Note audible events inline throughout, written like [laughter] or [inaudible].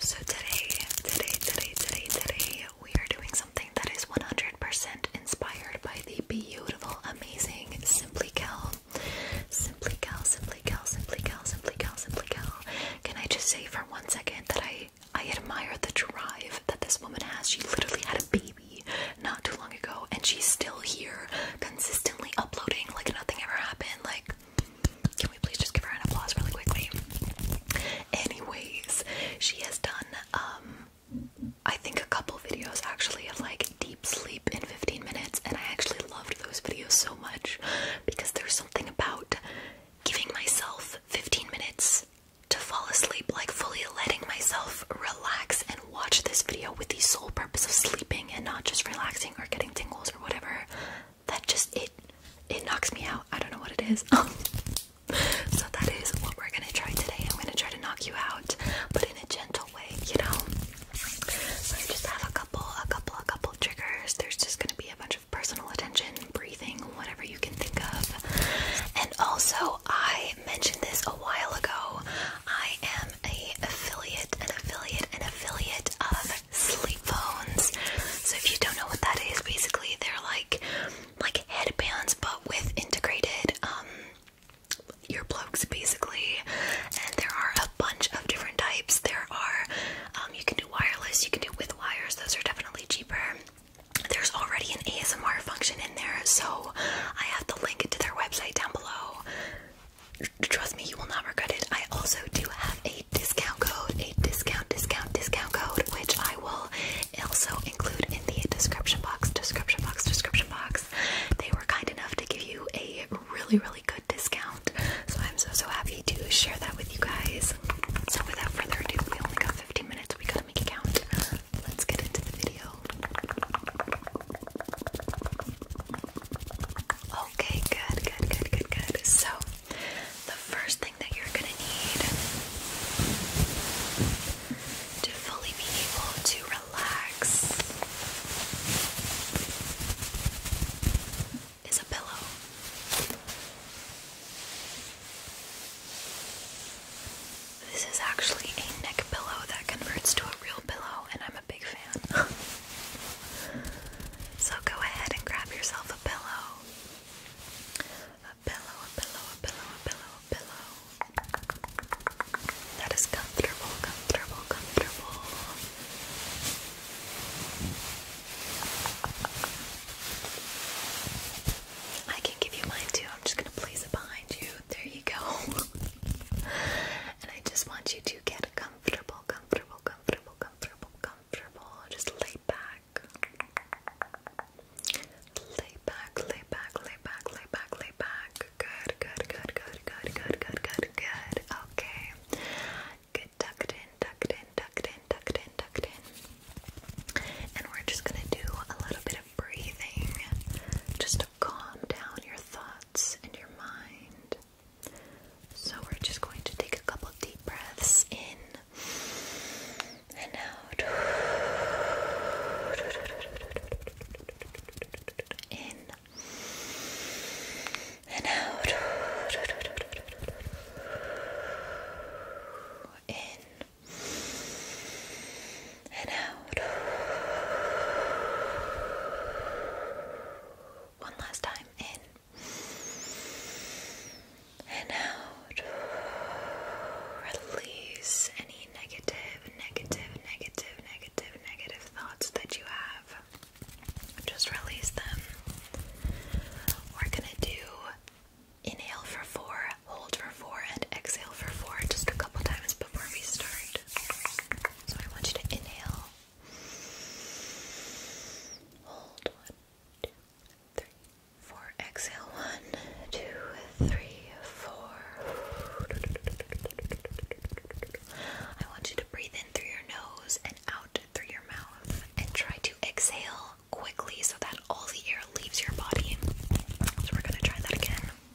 So today, today, today, today, today, we are doing something that is 100% inspired by the beautiful, amazing Simply Kel. Simply Kel, Simply Kel, Simply Kel, Simply Kel, Simply Kel. Can I just say for one second that I I admire the drive that this woman has. She literally had a baby not too long ago and she's still here consistently uploading like nothing ever happened. Like can we please just give her an applause really quickly? Anyways, she has done um, I think a couple videos actually of like deep sleep in 15 minutes and I actually loved those videos so much because there's something about giving myself 15 minutes to fall asleep, like fully letting myself relax and watch this video with the sole purpose of sleeping and not just relaxing or getting tingles or whatever that just it it knocks me out. I don't know what it is. [laughs] so that is what we're gonna try today. I'm gonna try to knock you out, but in a gentle way, you know. So I just have a couple, a couple, a couple triggers. There's just gonna be a bunch of personal attention, breathing, whatever you can think of. And also, I mentioned this a while ago. I am an affiliate, an affiliate, an affiliate of sleep phones. So if you don't know what that is, basically they're like like headbands but with integrated um earplugs basically. And there are a bunch of different types. There are um you can do wireless, you can do with wires, those are definitely cheaper. There's already an ASMR function in there, so I have the link to their website down below. Trust me, you will not regret it. I also do have a discount code, a discount, discount, discount code, which I will also include in the description box, description box, description box. They were kind enough to give you a really, really good discount. So I'm so, so happy to share that with you guys. So without further ado, we only got 15 minutes. We gotta make it count. Let's get into the video. Okay, good, good, good, good, good. So, the first thing that you're going to need to fully be able to relax is a pillow. This is actually a neck pillow that converts to a real pillow, and I'm a [laughs] so go ahead and grab yourself a pillow. A pillow, a pillow, a pillow, a pillow, a pillow. That is comfortable, comfortable, comfortable. I can give you mine too. I'm just gonna place it behind you. There you go. and I just want you to get comfortable, comfortable, comfortable, comfortable, comfortable. Just lay back. Lay back, lay back, lay back, lay back, lay back. Good, good, good, good, good, good, good, good, good. Okay. Good tucked in, tucked in, tucked in, tucked in, tucked in. And we're just gonna do a little bit of breathing. Just to calm down your thoughts and your mind. So, we're just going to take a couple deep breaths in and out. In and out. In and out. One last time in and out. Release any negative, negative, negative, negative, negative thoughts that you have. Just release them. We're gonna do inhale for four, hold for four, and exhale for four just a couple times before we start. So I want you to inhale. Hold one, two, three, four. Exhale one, two, three, four. I want you to breathe in through your nose and out through your mouth, and try to exhale quickly so that all the air leaves your body. So we're gonna try that again.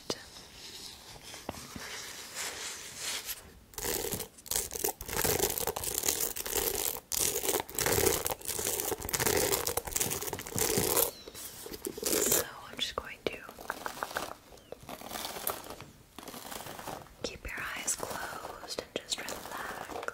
So I'm just going to keep your eyes closed and just relax.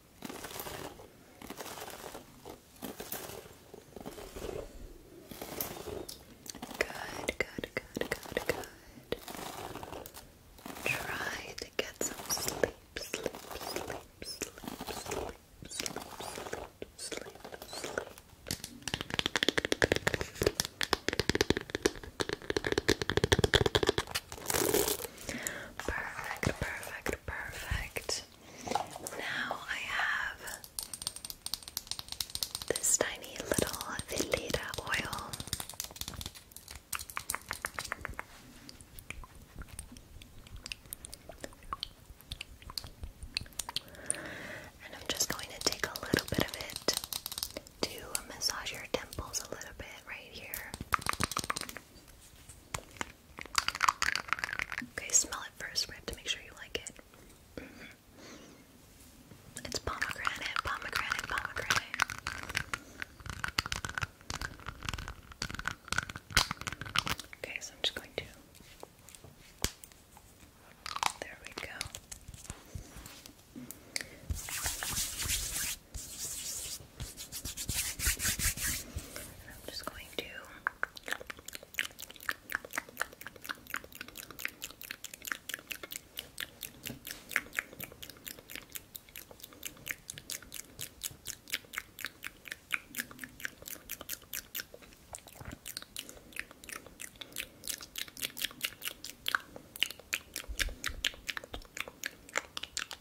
Good, good, good, good, good. Try to get some sleep, sleep, sleep, sleep, sleep, sleep, sleep, sleep, sleep. Perfect, perfect, perfect. Now I have this tiny little Veleda oil. And I'm just going to take a little bit of it to massage your temples a little bit right here. Okay, smell it first. We have to make sure you like it. Mm-hmm. It's pomegranate, pomegranate, pomegranate. Okay, so I'm just going to. There we go. And I'm just going to Okay.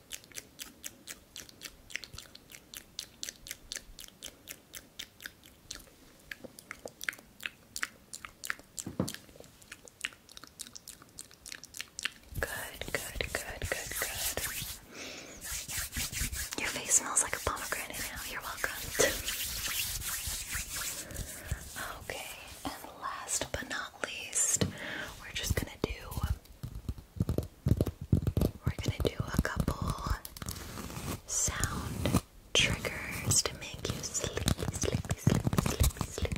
Good, good, good, good, good. Your face smells like a pomegranate now. You're welcome. okay, and last but not least, we're just gonna do we're going to do a couple sound triggers to make you sleepy, sleepy, sleepy, sleepy, sleepy.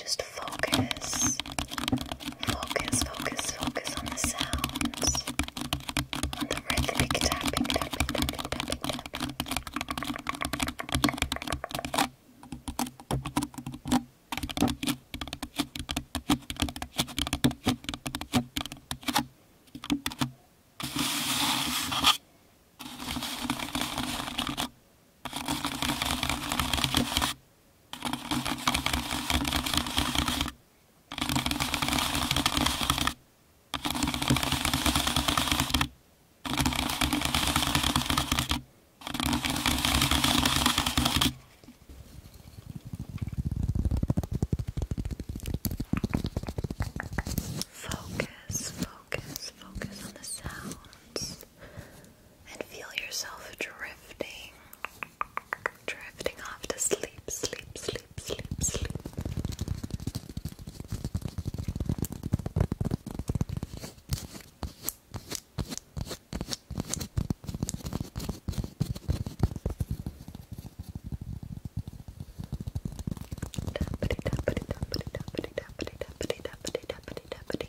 Just focus Focus, focus, focus on the sounds. On the rhythmic tapping, tapping, tapping, tapping, tapping. Focus, focus, focus on the sounds and feel yourself drifting, drifting off to sleep, sleep, sleep, sleep, sleep. Tappity,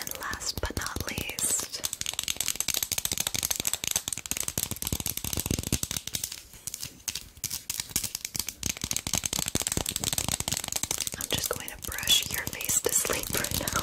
And last but not least, I'm just going to brush your face to sleep right now.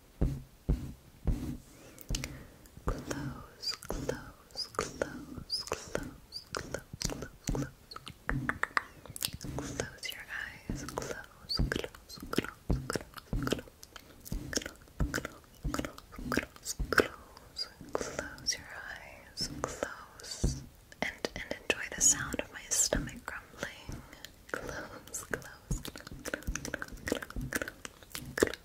Close, close, close, close, close, close, close. Close your eyes. Close, close, close, close, close, close, close, close. Close your eyes. Close. And and enjoy the sound of my stomach grumbling. Close, close, close, close, close, close, close,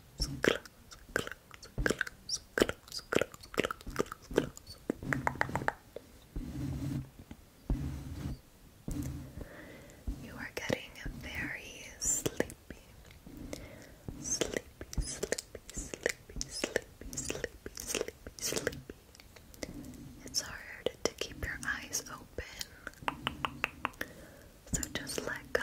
you are getting very sleepy. Sleepy, sleepy, sleepy, sleepy, sleepy, sleepy, sleepy. It's hard to keep your eyes open. So just let go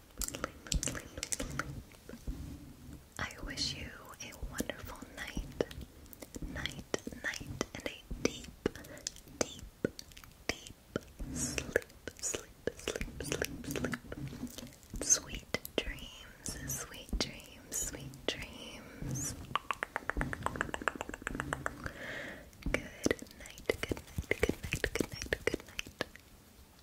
I wish you a wonderful night, night, night, and a deep, deep, deep sleep, sleep, sleep, sleep, sleep. Sweet dreams, sweet dreams, sweet dreams. Good night, good night, good night, good night, good night.